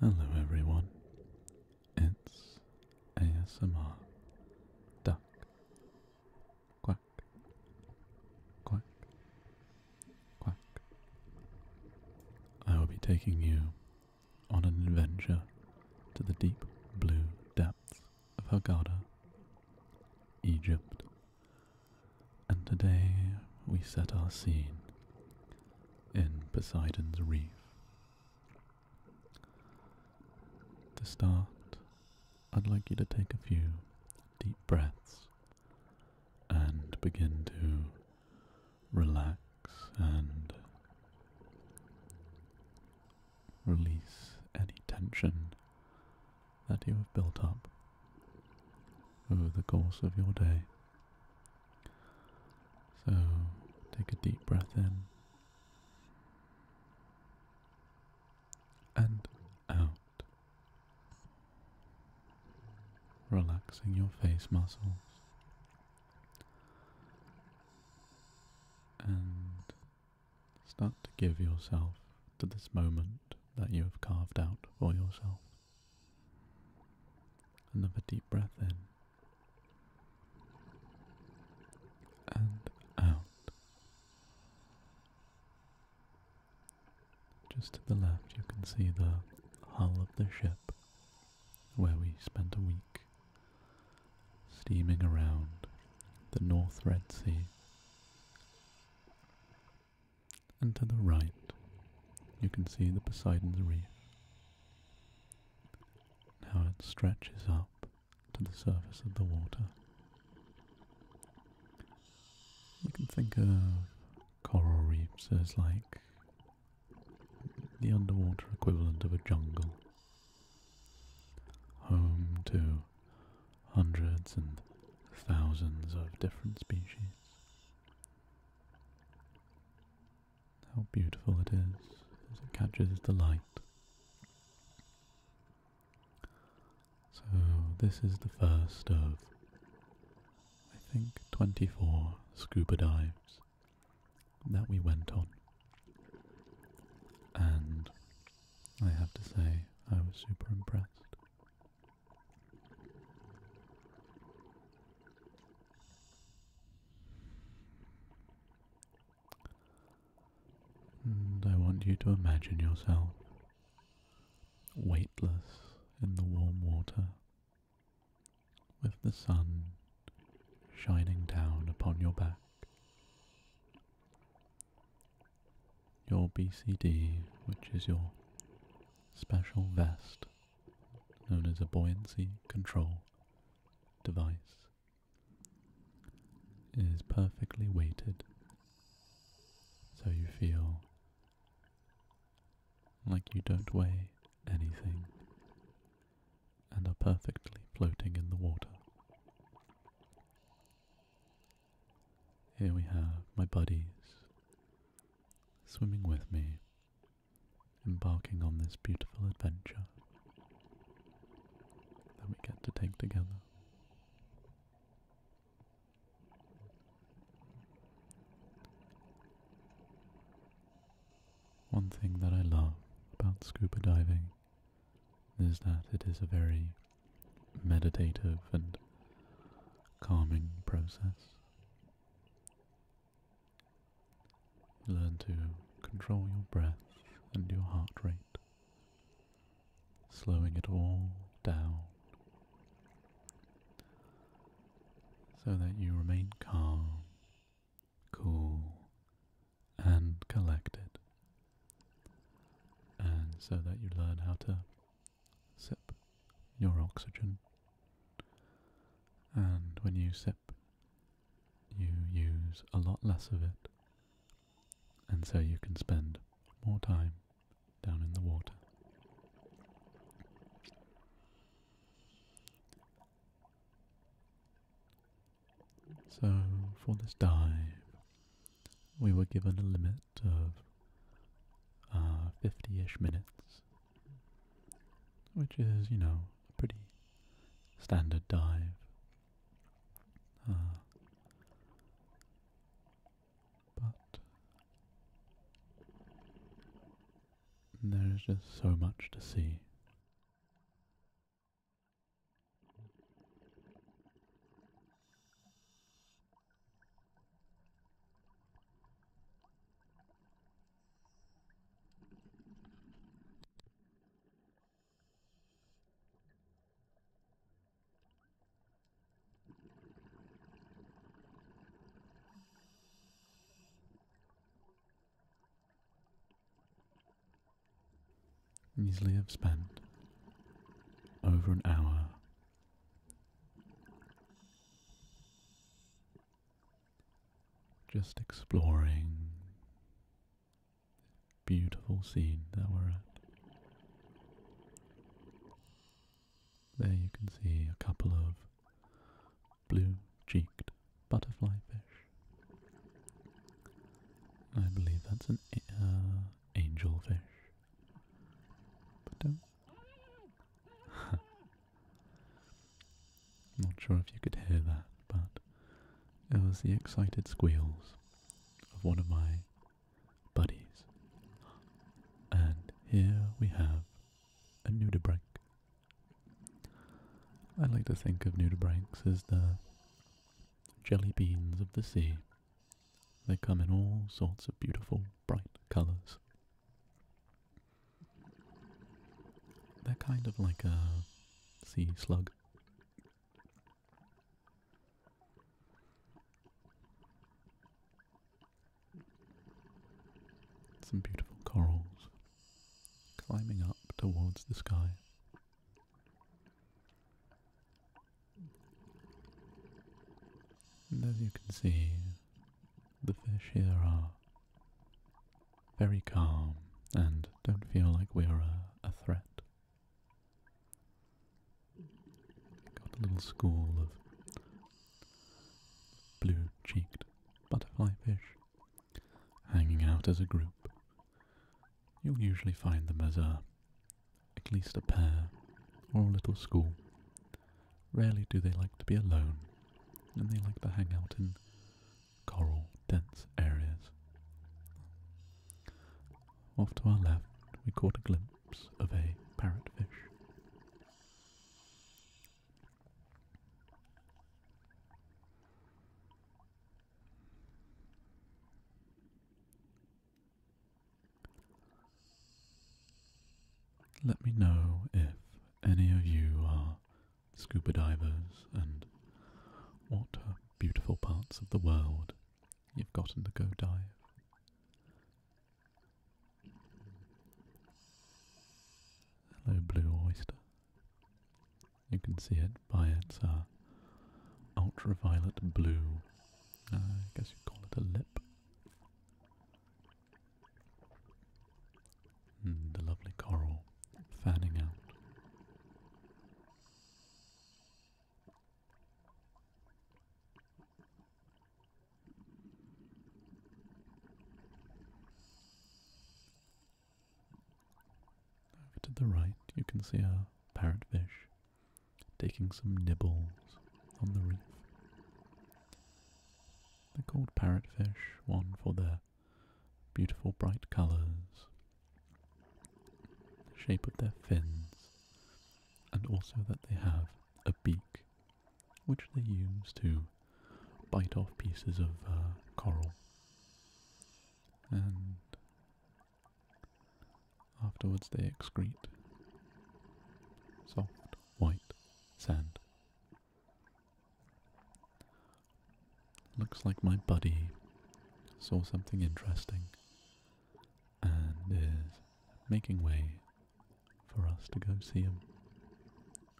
Hello everyone, it's ASMR Duck Quack Quack Quack. I will be taking you on an adventure to the deep blue depths of Haggadah, Egypt, and today we set our scene in Poseidon's Reef. To start, I'd like you to take a few deep breaths and begin to relax and release any tension that you have built up over the course of your day. So take a deep breath in and out, relaxing your face muscles. And start to give yourself to this moment that you have carved out for yourself. Another deep breath in and out. Just to the left, you can see the hull of the ship where we spent a week steaming around the North Red Sea and to the right you can see the Poseidon's Reef. How it stretches up to the surface of the water. You can think of coral reefs as like the underwater equivalent of a jungle, home to hundreds and thousands of different species. How beautiful it is as it catches the light. So, this is the first of, I think, 24 scuba dives that we went on. And I have to say, I was super impressed. And I want you to imagine yourself weightless in the warm water with the sun shining down upon your back. Your BCD, which is your special vest, known as a buoyancy control device is perfectly weighted so you feel like you don't weigh anything and are perfectly floating in the water. Here we have my buddies swimming with me, embarking on this beautiful adventure that we get to take together. One thing that I love about scuba diving is that it is a very meditative and calming process. Learn to control your breath and your heart rate, slowing it all down so that you remain calm, cool, and collected, and so that you learn how to sip your oxygen. And when you sip, you use a lot less of it, and so you can spend more time down in the water. So, for this dive, we were given a limit of uh, 50 ish minutes which is, you know, a pretty standard dive. Uh, but there's just so much to see. Easily have spent over an hour just exploring beautiful scene that we're at. There you can see a couple of blue-cheeked butterfly fish. I believe that's an uh, angel fish. But don't. I'm not sure if you could hear that, but it was the excited squeals of one of my buddies. And here we have a nudibranch. I like to think of nudibranchs as the jelly beans of the sea. They come in all sorts of beautiful, bright colours. They're kind of like a sea slug. Some beautiful corals climbing up towards the sky. And as you can see, the fish here are very calm and don't feel like we are a, threat. Got a little school of blue cheeked butterfly fish hanging out as a group. You'll usually find them as a at least a pair or a little school. Rarely do they like to be alone, and they like to hang out in coral dense areas. Off to our left, we caught a glimpse of a parrotfish. Let me know if any of you are scuba divers and what beautiful parts of the world you've gotten to go dive. Hello, Blue Oyster. You can see it by its ultraviolet blue. Uh, I guess you call it a lip. Hmm, the lovely coral fanning out. Over to the right, you can see a parrotfish taking some nibbles on the reef. They're called parrotfish, one for their beautiful bright colours, the shape of their fins, and also that they have a beak, which they use to bite off pieces of uh, coral. And afterwards they excrete soft white sand. Looks like my buddy saw something interesting and is making way for us to go see him,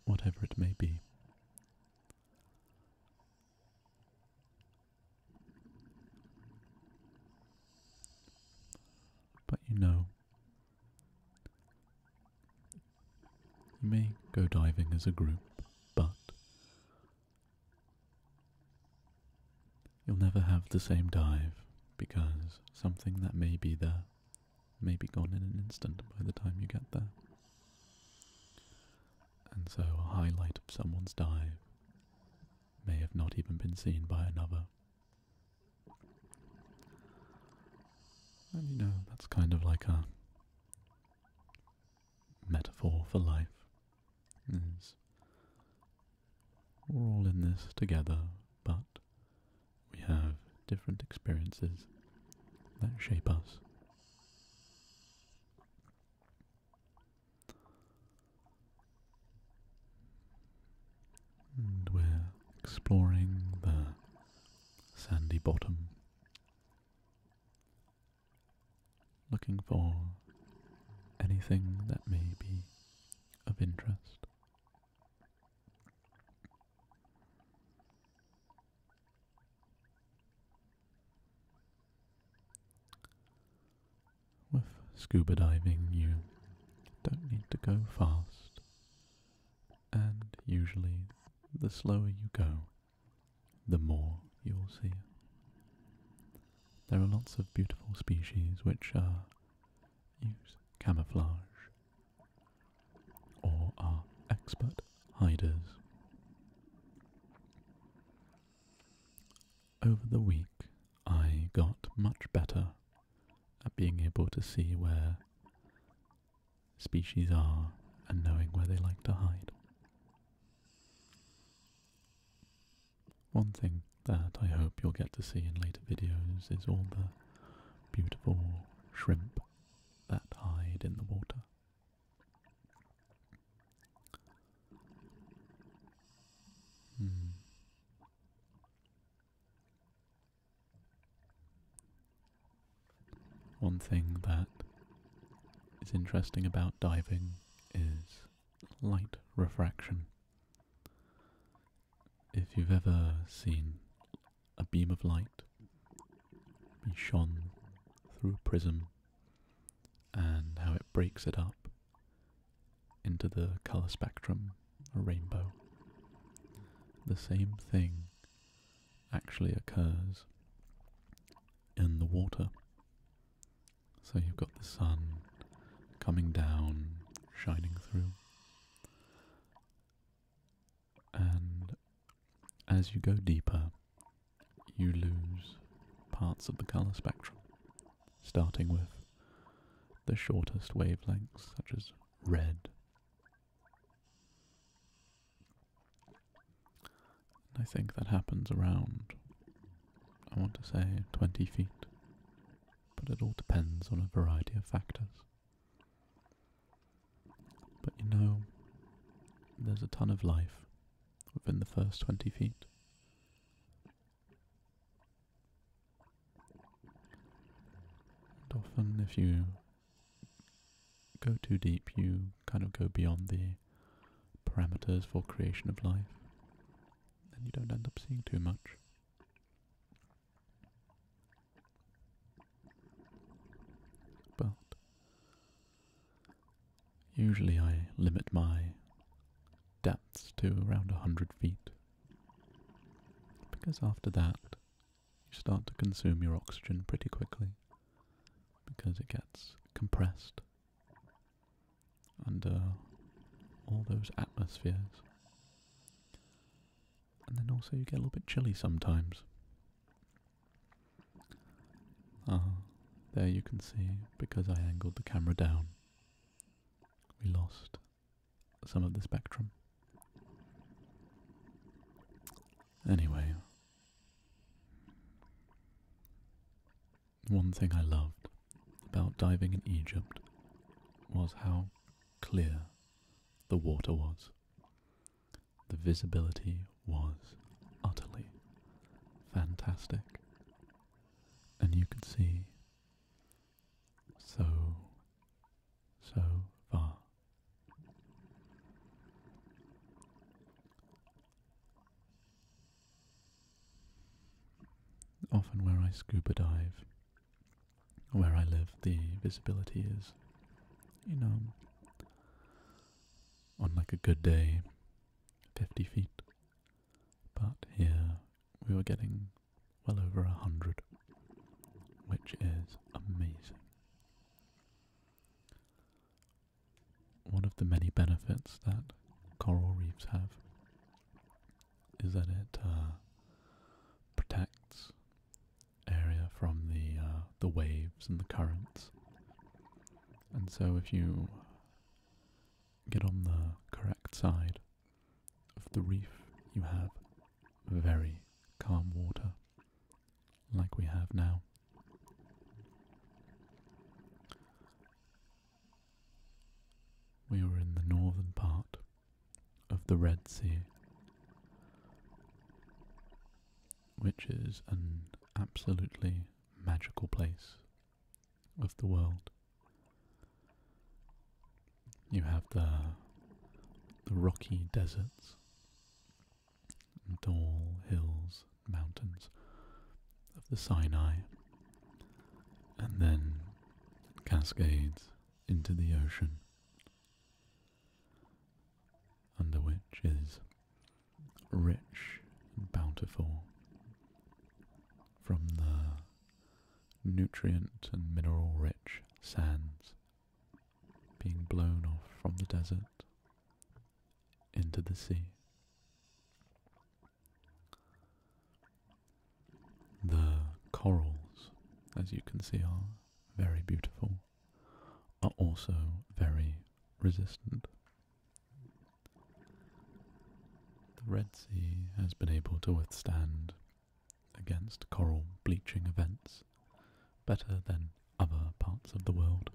whatever it may be. But you know, you may go diving as a group, but you'll never have the same dive because something that may be there may be gone in an instant by the time you get there. And so a highlight of someone's dive may have not even been seen by another and you know, that's kind of like a metaphor for life. we're all in this together, but we have different experiences that shape us and we're exploring the sandy bottom, looking for anything that may be of interest. With scuba diving, you don't need to go fast. And usually, the slower you go, the more you'll see. There are lots of beautiful species which use camouflage or are expert hiders. Over the week, I got much better at being able to see where species are and knowing where they like to hide. One thing that I hope you'll get to see in later videos is all the beautiful shrimp that hide in the water. Hmm. One thing that is interesting about diving is light refraction. If you've ever seen a beam of light be shone through a prism and how it breaks it up into the colour spectrum a rainbow. The same thing actually occurs in the water. So you've got the sun coming down, shining through. And as you go deeper, you lose parts of the colour spectrum, starting with the shortest wavelengths, such as red. I think that happens around, I want to say, 20 feet, but it all depends on a variety of factors. But you know, there's a ton of life within the first 20 feet. And often, if you go too deep, you kind of go beyond the parameters for creation of life, and you don't end up seeing too much. But usually I limit my depths to around 100 feet because after that, you start to consume your oxygen pretty quickly because it gets compressed under all those atmospheres. And then also you get a little bit chilly sometimes. Ah, there you can see, because I angled the camera down, we lost some of the spectrum. Anyway, one thing I loved about diving in Egypt was how clear the water was. The visibility was utterly fantastic, and you could see so, so far. Often, where I scuba dive, where I live, the visibility is, you know, on like a good day, 50 feet. But here we were getting well over a hundred, which is amazing. One of the many benefits that coral reefs have is that it uh, protects area from the uh, the waves and the currents, and so if you get on the correct side of the reef, you have very calm water, like we have now. We are in the northern part of the Red Sea, which is an absolutely magical place of the world. You have the rocky deserts, and tall hills, mountains of the Sinai, and then cascades into the ocean, under which is rich and bountiful from the nutrient and mineral rich sands being blown off from the desert into the sea. The corals, as you can see, are very beautiful, are also very resistant. The Red Sea has been able to withstand against coral bleaching events better than other parts of the world.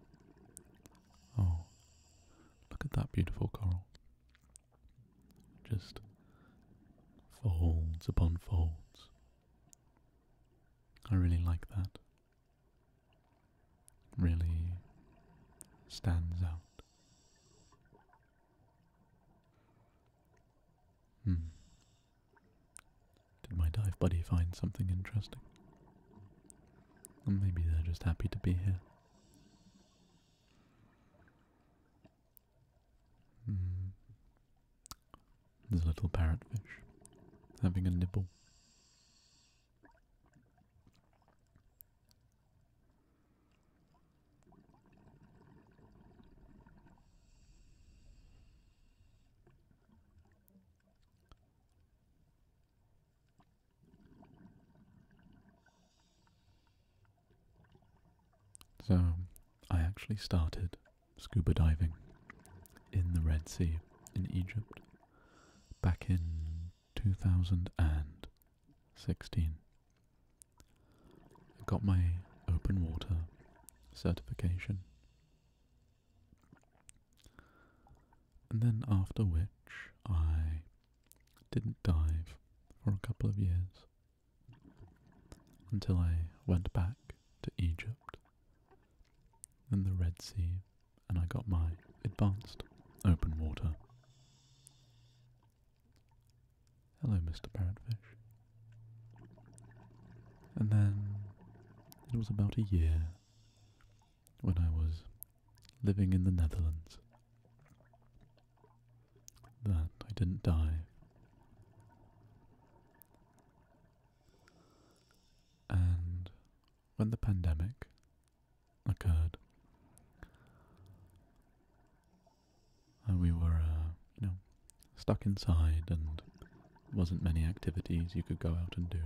Oh, look at that beautiful coral. Just folds upon folds. I really like that. Really stands out. Did my dive buddy find something interesting? maybe they're just happy to be here. Hmm. There's a little parrotfish having a nibble. So, I actually started scuba diving in the Red Sea in Egypt back in 2016. I got my open water certification. And then, after which, I didn't dive for a couple of years until I went back to Egypt in the Red Sea, and I got my advanced open water. Hello, Mr. Parrotfish. And then it was about a year when I was living in the Netherlands that I didn't die. And when the pandemic occurred, uh, we were, uh, you know, stuck inside and wasn't many activities you could go out and do.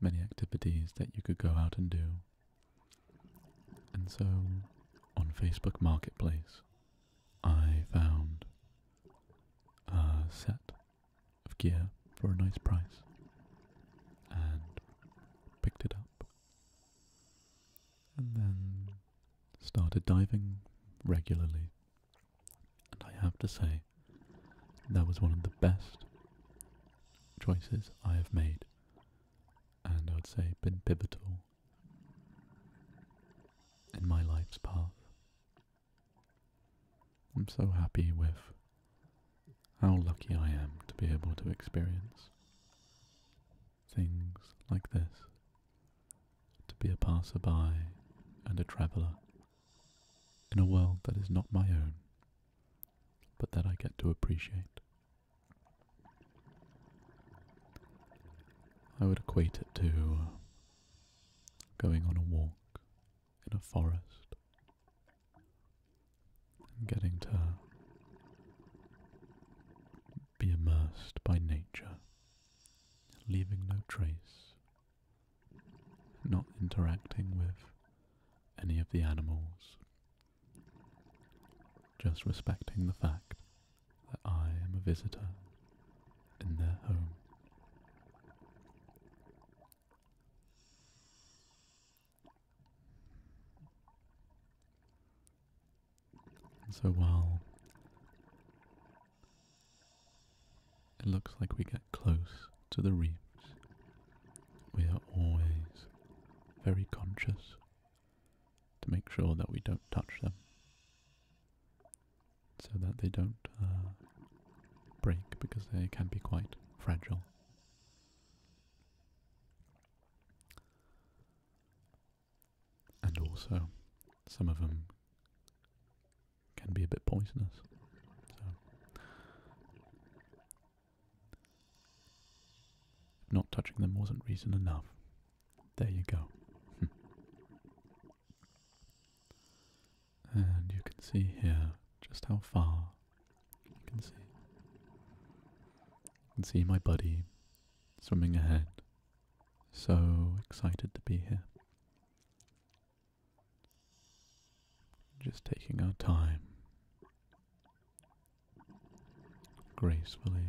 Many activities that you could go out and do. And so, on Facebook Marketplace, I found a set of gear for a nice price and picked it up and then started diving regularly. And I have to say, that was one of the best choices I have made, and I would say been pivotal in my life's path. I'm so happy with how lucky I am to be able to experience things like this to be a passerby and a traveller in a world that is not my own, but that I get to appreciate. I would equate it to going on a walk in a forest and getting to be immersed by nature, leaving no trace, not interacting with any of the animals, just respecting the fact that I am a visitor in their home so while it looks like we get close to the reefs, we are always very conscious to make sure that we don't touch them so that they don't uh, break because they can be quite fragile. And also, some of them can be a bit poisonous. So, not touching them wasn't reason enough, there you go. Hmm. and you can see here just how far you can see. You can see my buddy swimming ahead. So excited to be here. Just taking our time, gracefully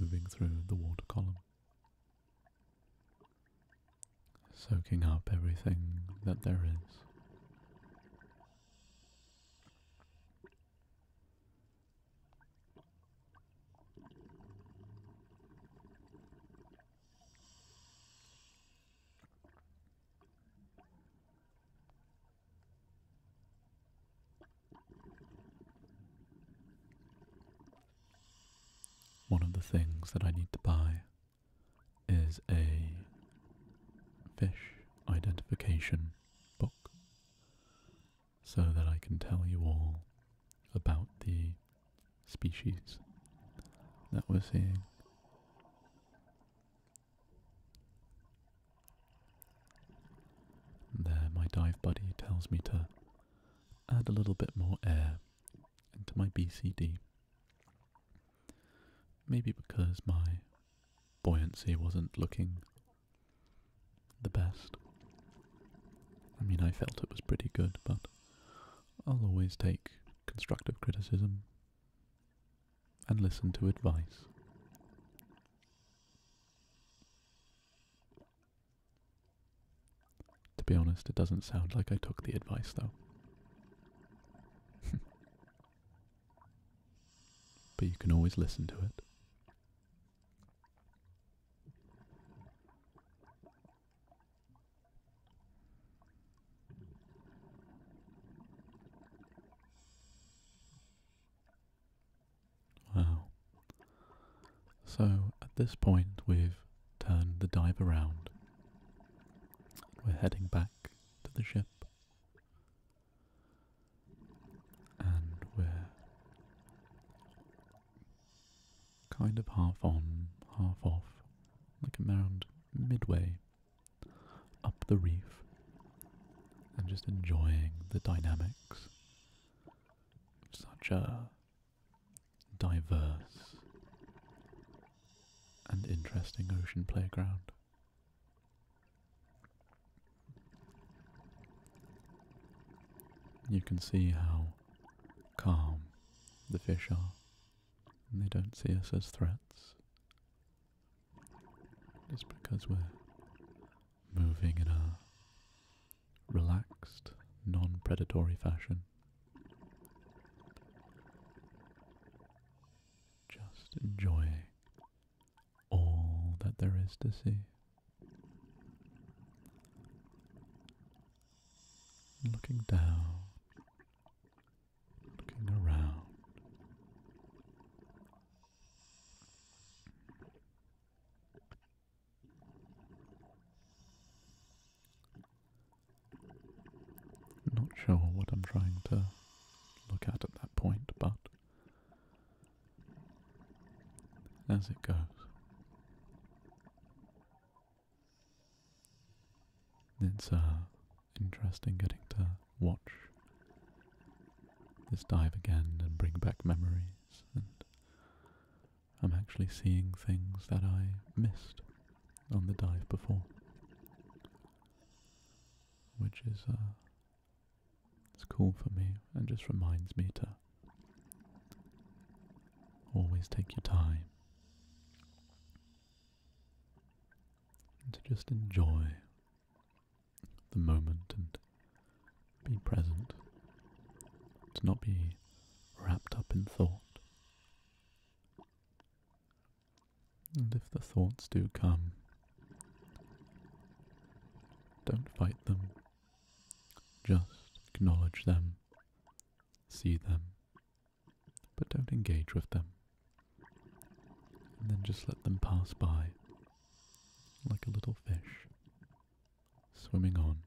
moving through the water column, soaking up everything that there is. One of the things that I need to buy is a fish identification book so that I can tell you all about the species that we're seeing. there, my dive buddy tells me to add a little bit more air into my BCD. Maybe because my buoyancy wasn't looking the best. I mean, I felt it was pretty good, but I'll always take constructive criticism and listen to advice. To be honest, it doesn't sound like I took the advice, though. But you can always listen to it. Wow. So at this point, we've turned the dive around. We're heading back to the ship and we're kind of half on, half off, like a mound midway up the reef, and just enjoying the dynamics such a diverse and interesting ocean playground. You can see how calm the fish are. And they don't see us as threats. Just because we're moving in a relaxed, non predatory fashion. Just enjoying all that there is to see. Looking down, looking around. Not sure what I'm trying to look at at that point, but as it goes. It's uh, interesting getting to watch this dive again and bring back memories, and I'm actually seeing things that I missed on the dive before, which is uh, it's cool for me and just reminds me to always take your time and to just enjoy the moment and be present, to not be wrapped up in thought. And if the thoughts do come, don't fight them. Just acknowledge them, see them, but don't engage with them. And then just let them pass by like a little fish swimming on.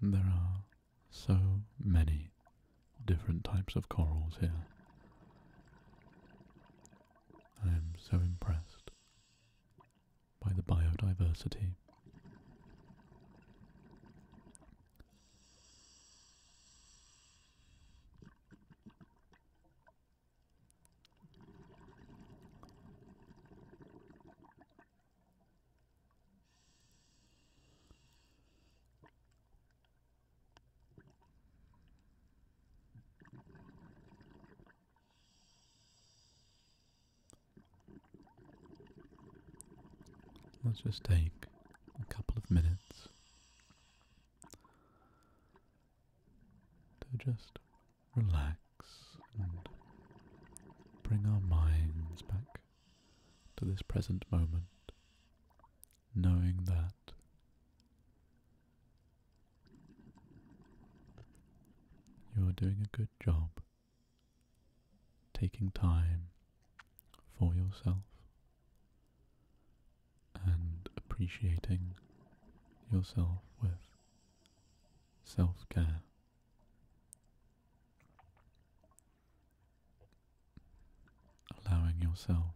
There are so many different types of corals here. I am so impressed by the biodiversity. Let's just take a couple of minutes to just relax and bring our minds back to this present moment, knowing that you are doing a good job taking time for yourself and appreciating yourself with self care. Allowing yourself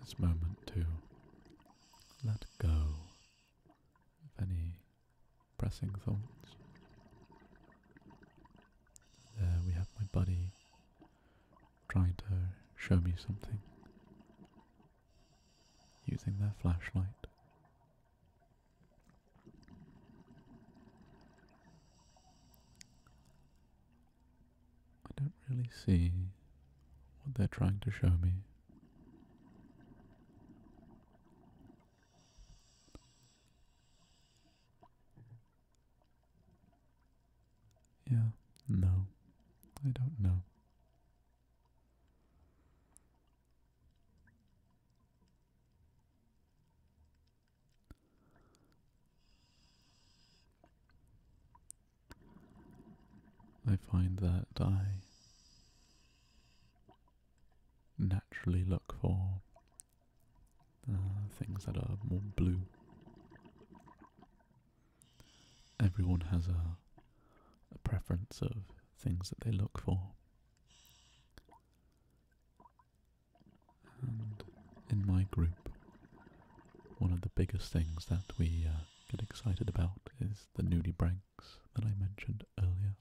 this moment to let go of any pressing thoughts there uh, we have my buddy trying to show me something using their flashlight. I don't really see what they're trying to show me. Yeah, no, I don't know. I find that I naturally look for uh, things that are more blue. Everyone has a, preference of things that they look for. And in my group, one of the biggest things that we uh, get excited about is the nudie branks that I mentioned earlier.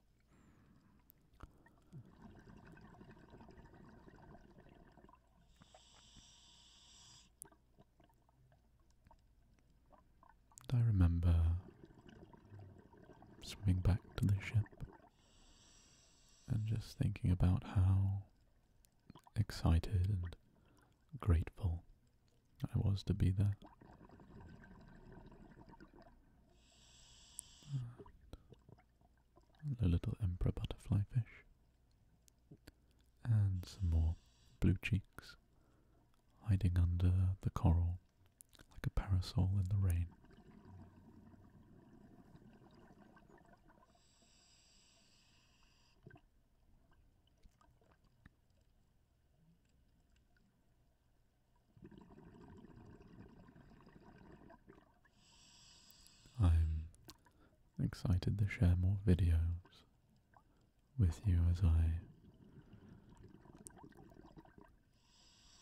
And I remember swimming back to the ship and just thinking about how excited and grateful I was to be there the little emperor butterflyfish, and some more blue cheeks hiding under the coral like a parasol in the rain. I'm excited to share more videos with you as I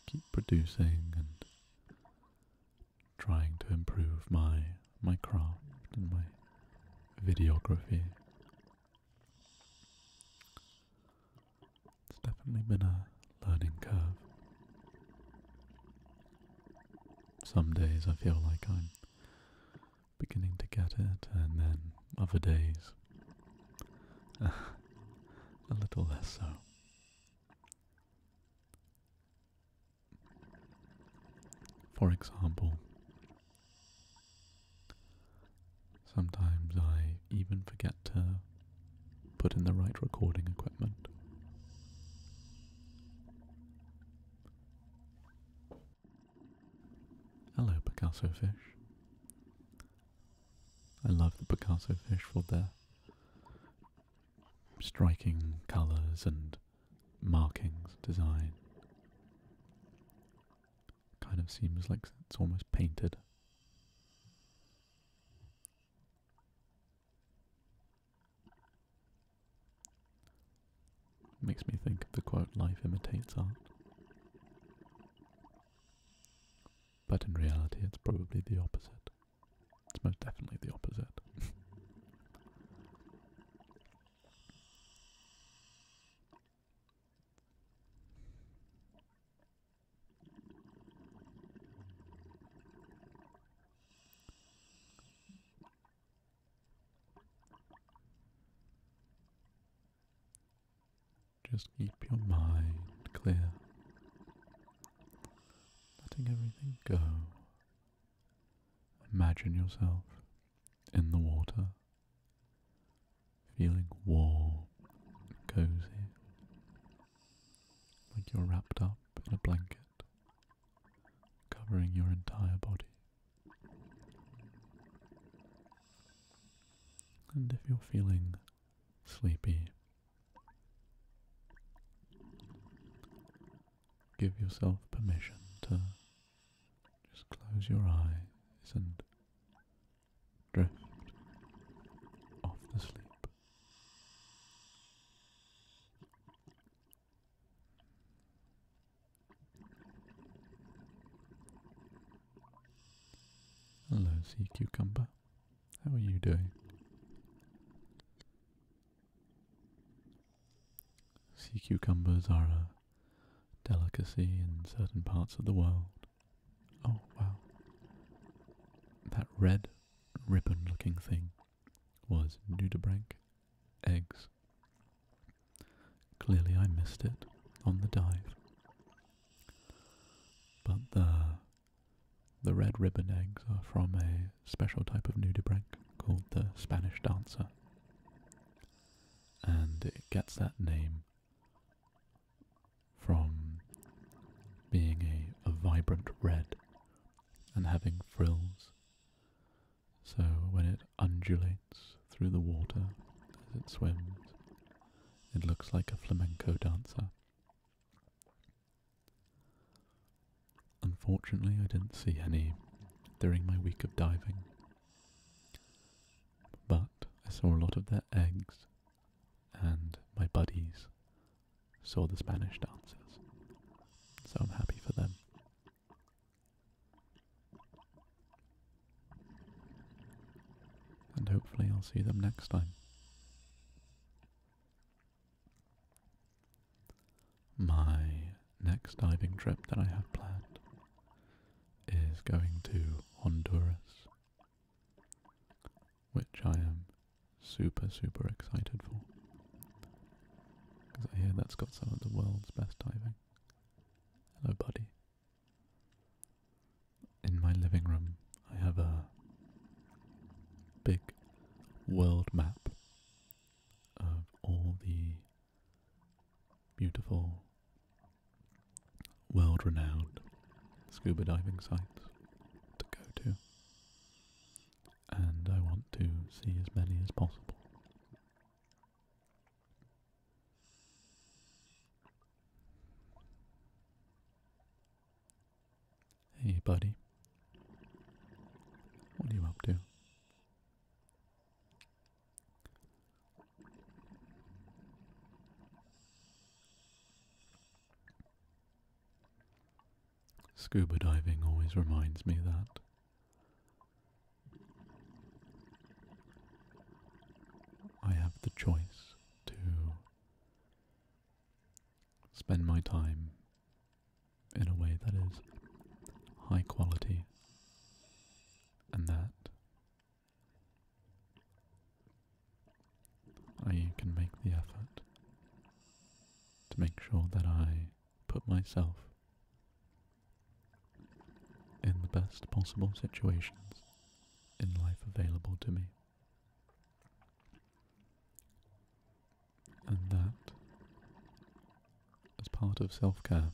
keep producing and trying to improve my my craft and my videography. It's definitely been a learning curve. Some days I feel like I'm beginning to get it, and then other days a little less so. For example, sometimes I even forget to put in the right recording equipment. Hello, Picasso fish. I love the Picasso fish for their striking colours and markings, design. Kind of seems like it's almost painted. Makes me think of the quote, life imitates art. But in reality, it's probably the opposite. It's most definitely the opposite. Just keep your mind clear, letting everything go. Imagine yourself in the water, feeling warm and cozy, like you're wrapped up in a blanket covering your entire body. And if you're feeling sleepy, give yourself permission to just close your eyes and drift off to sleep. Hello, sea cucumber. How are you doing? Sea cucumbers are a delicacy in certain parts of the world. Oh, wow. That red ribbon looking thing was nudibranch eggs. Clearly I missed it on the dive. But the the red ribbon eggs are from a special type of nudibranch called the Spanish dancer. And it gets that name from being a, a vibrant red and having frills. So when it undulates through the water as it swims, it looks like a flamenco dancer. Unfortunately, I didn't see any during my week of diving, but I saw a lot of their eggs and my buddies saw the Spanish dancers. So I'm happy for them. And hopefully I'll see them next time. My next diving trip that I have planned is going to Honduras, which I am super, super excited for. Because I hear that's got some of the world's best diving. Hello, buddy. In my living room, I have a big world map of all the beautiful, world renowned scuba diving sites to go to and I want to see as many as possible. Hey, buddy. What are you up to? Scuba diving always reminds me that. I have the choice to spend my time in a way that is high quality and that I can make the effort to make sure that I put myself in the best possible situations in life available to me. And that, as part of self care,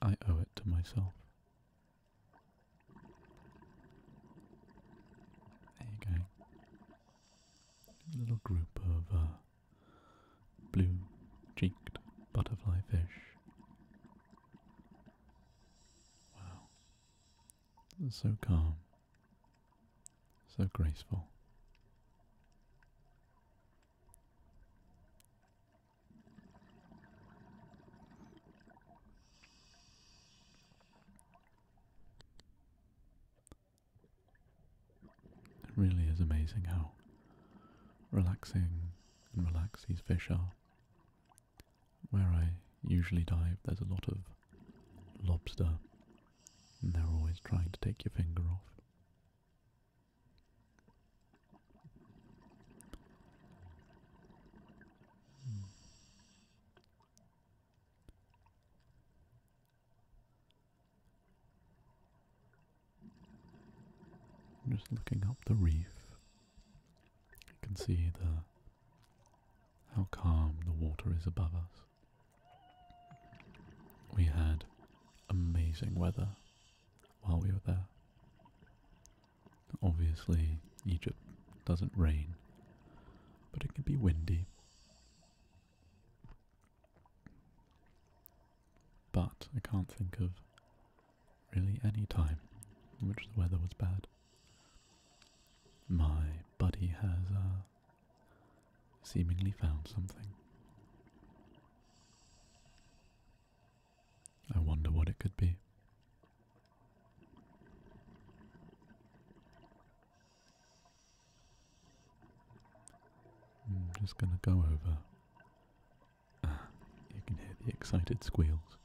I owe it to myself. There a little group of uh, blue cheeked butterfly fish. Wow. So calm, so graceful. It really is amazing how relaxing and relaxed these fish are. Where I usually dive, there's a lot of lobster, and they're always trying to take your finger off. I'm just looking up the reef. You can see the how calm the water is above us. We had amazing weather while we were there. Obviously, Egypt doesn't rain, but it can be windy. But I can't think of really any time which the weather was bad. My buddy has uh, seemingly found something. I wonder what it could be. I'm hmm, just going to go over. Ah, you can hear the excited squeals,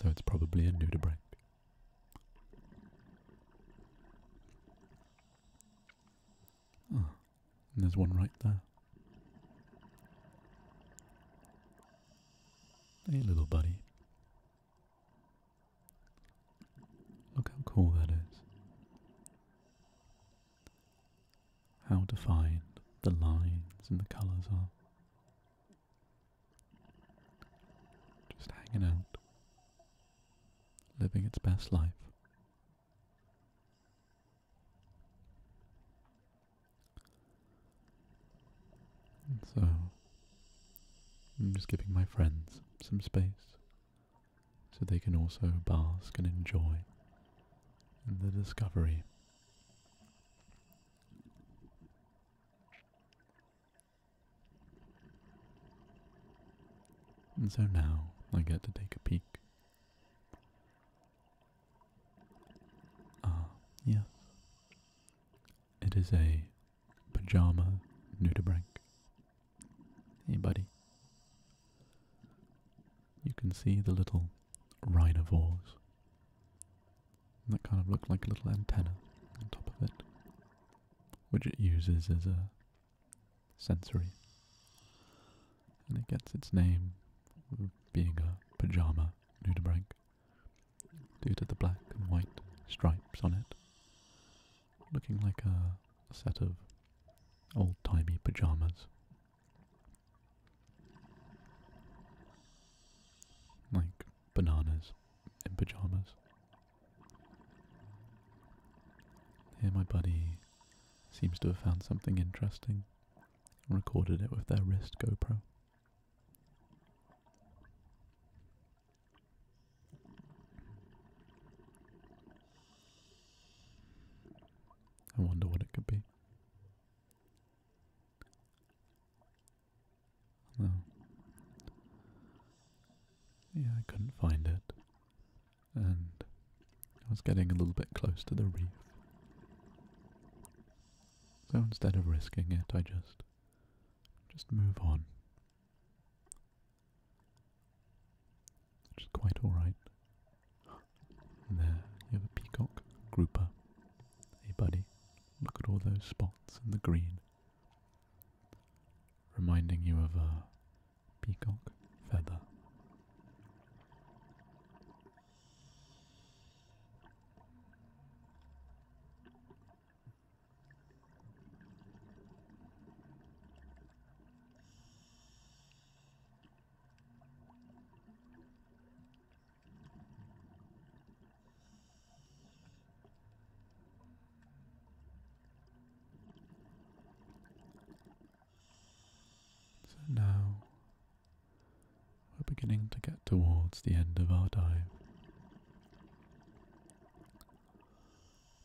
so it's probably a nudibranch. Ah, and there's one right there. Hey, little buddy. Look how cool that is. How defined the lines and the colours are. Just hanging out, living its best life. so, I'm just giving my friends some space so they can also bask and enjoy the discovery. And so now I get to take a peek. Ah, yes. It is a Pajama Nudibranch. Anybody? You can see the little rhinovores that kind of looks like a little antenna on top of it, which it uses as a sensory. And it gets its name being a pajama nudibranch due to the black and white stripes on it looking like a set of old-timey pajamas. Like bananas in pajamas. Here my buddy seems to have found something interesting and recorded it with their wrist GoPro. I wonder what it could be. No. Yeah, I couldn't find it. And I was getting a little bit close to the reef. So instead of risking it, I just just move on. Which is quite alright. there you have a peacock grouper. Hey buddy, look at all those spots in the green. Reminding you of a peacock feather. So now we're beginning to get towards the end of our dive.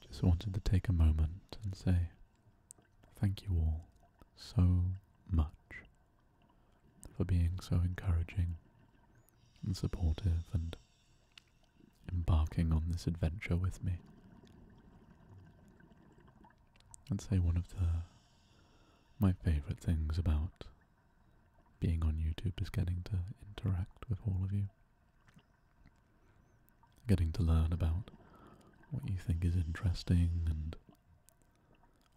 Just wanted to take a moment and say thank you all so much for being so encouraging and supportive and embarking on this adventure with me. I'd say one of the my favorite things about being on YouTube is getting to interact with all of you. Getting to learn about what you think is interesting and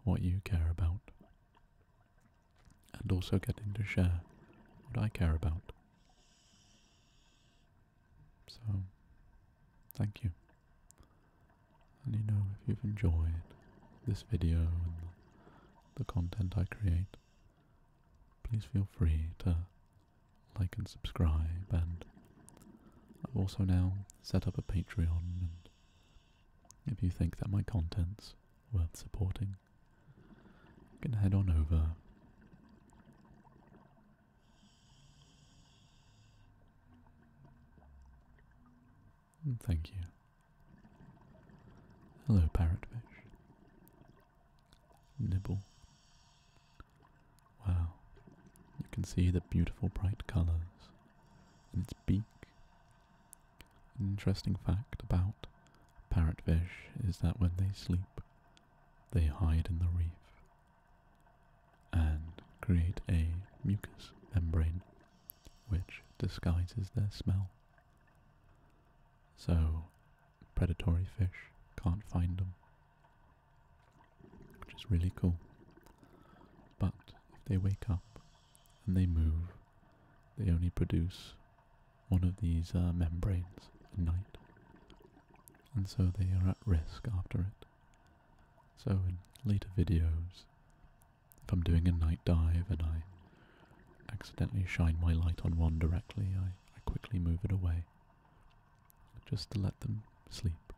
what you care about. And also getting to share what I care about. So, thank you. And you know, if you've enjoyed this video and the content I create, please feel free to like and subscribe. And I've also now set up a Patreon. And if you think that my content's worth supporting, you can head on over. thank you. Hello, parrotfish nibble. Wow, you can see the beautiful bright colours in its beak. An interesting fact about parrotfish is that when they sleep, they hide in the reef and create a mucous membrane which disguises their smell. So, predatory fish can't find them, which is really cool. But if they wake up and they move, they only produce one of these uh, membranes at night, and so they are at risk after it. So in later videos, if I'm doing a night dive and I accidentally shine my light on one directly, I I, quickly move it away just to let them sleep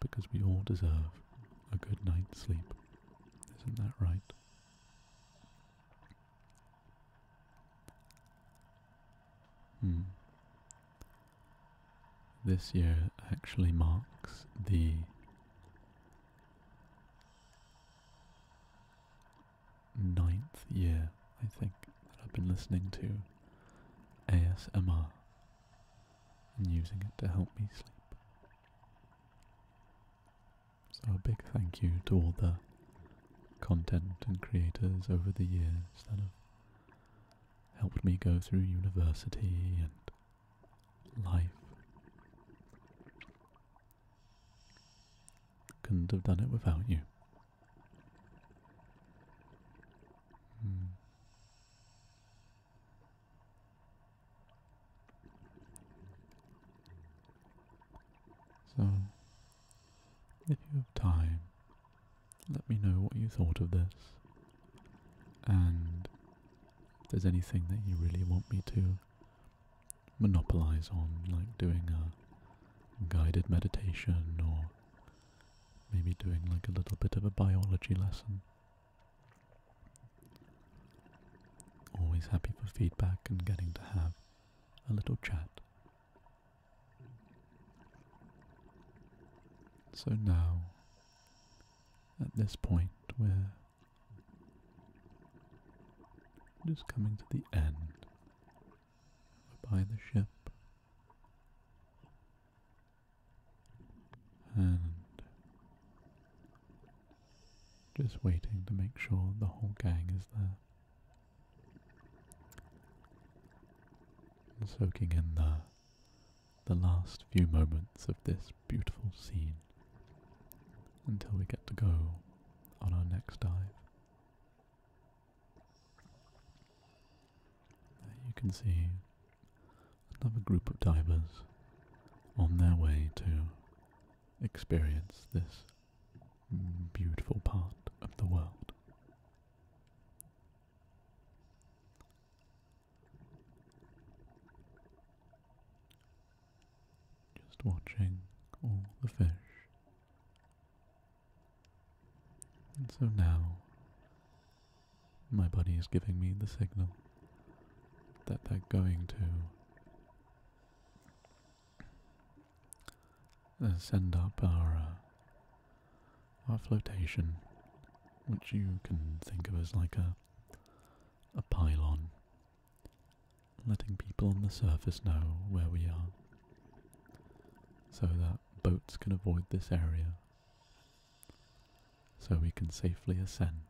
because we all deserve a good night's sleep. Isn't that right? Hmm. This year actually marks the ninth year, I think, that I've been listening to ASMR and using it to help me sleep. So a big thank you to all the content and creators over the years that have helped me go through university and life. Couldn't have done it without you. Hmm. So, if you have time, let me know what you thought of this, and if there's anything that you really want me to monopolize on, like doing a guided meditation or maybe doing like a little bit of a biology lesson. Always happy for feedback and getting to have a little chat. So now, at this point, we're just coming to the end by the ship and just waiting to make sure the whole gang is there. And soaking in the the last few moments of this beautiful scene until we get to go on our next dive you can see another group of divers on their way to experience this beautiful part of the world. Just watching all the fish. And so now, my body is giving me the signal that they're going to send up our, uh, our flotation, which you can think of as like a, a pylon letting people on the surface know where we are so that boats can avoid this area so we can safely ascend.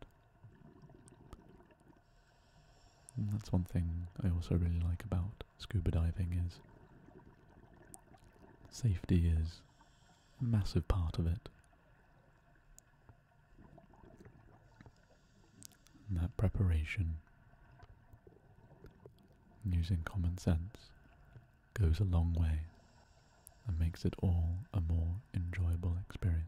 that's one thing I also really like about scuba diving is safety is a massive part of it and that preparation, using common sense, goes a long way and makes it all a more enjoyable experience.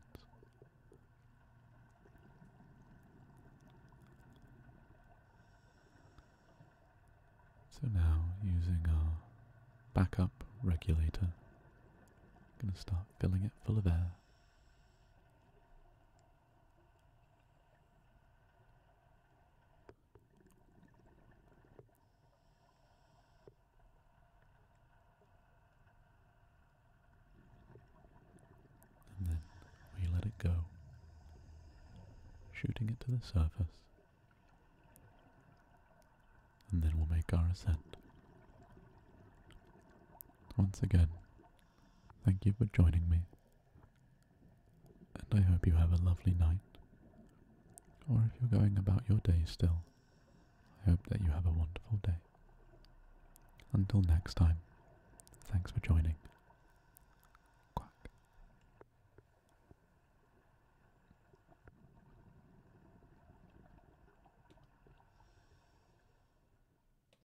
So now, using our backup regulator, I'm going to start filling it full of air. And then we let it go, shooting it to the surface. And then we'll make our ascent. Once again, Thank you for joining me, and I hope you have a lovely night. Or if you're going about your day still, I hope that you have a wonderful day. Until next time, thanks for joining. Quack.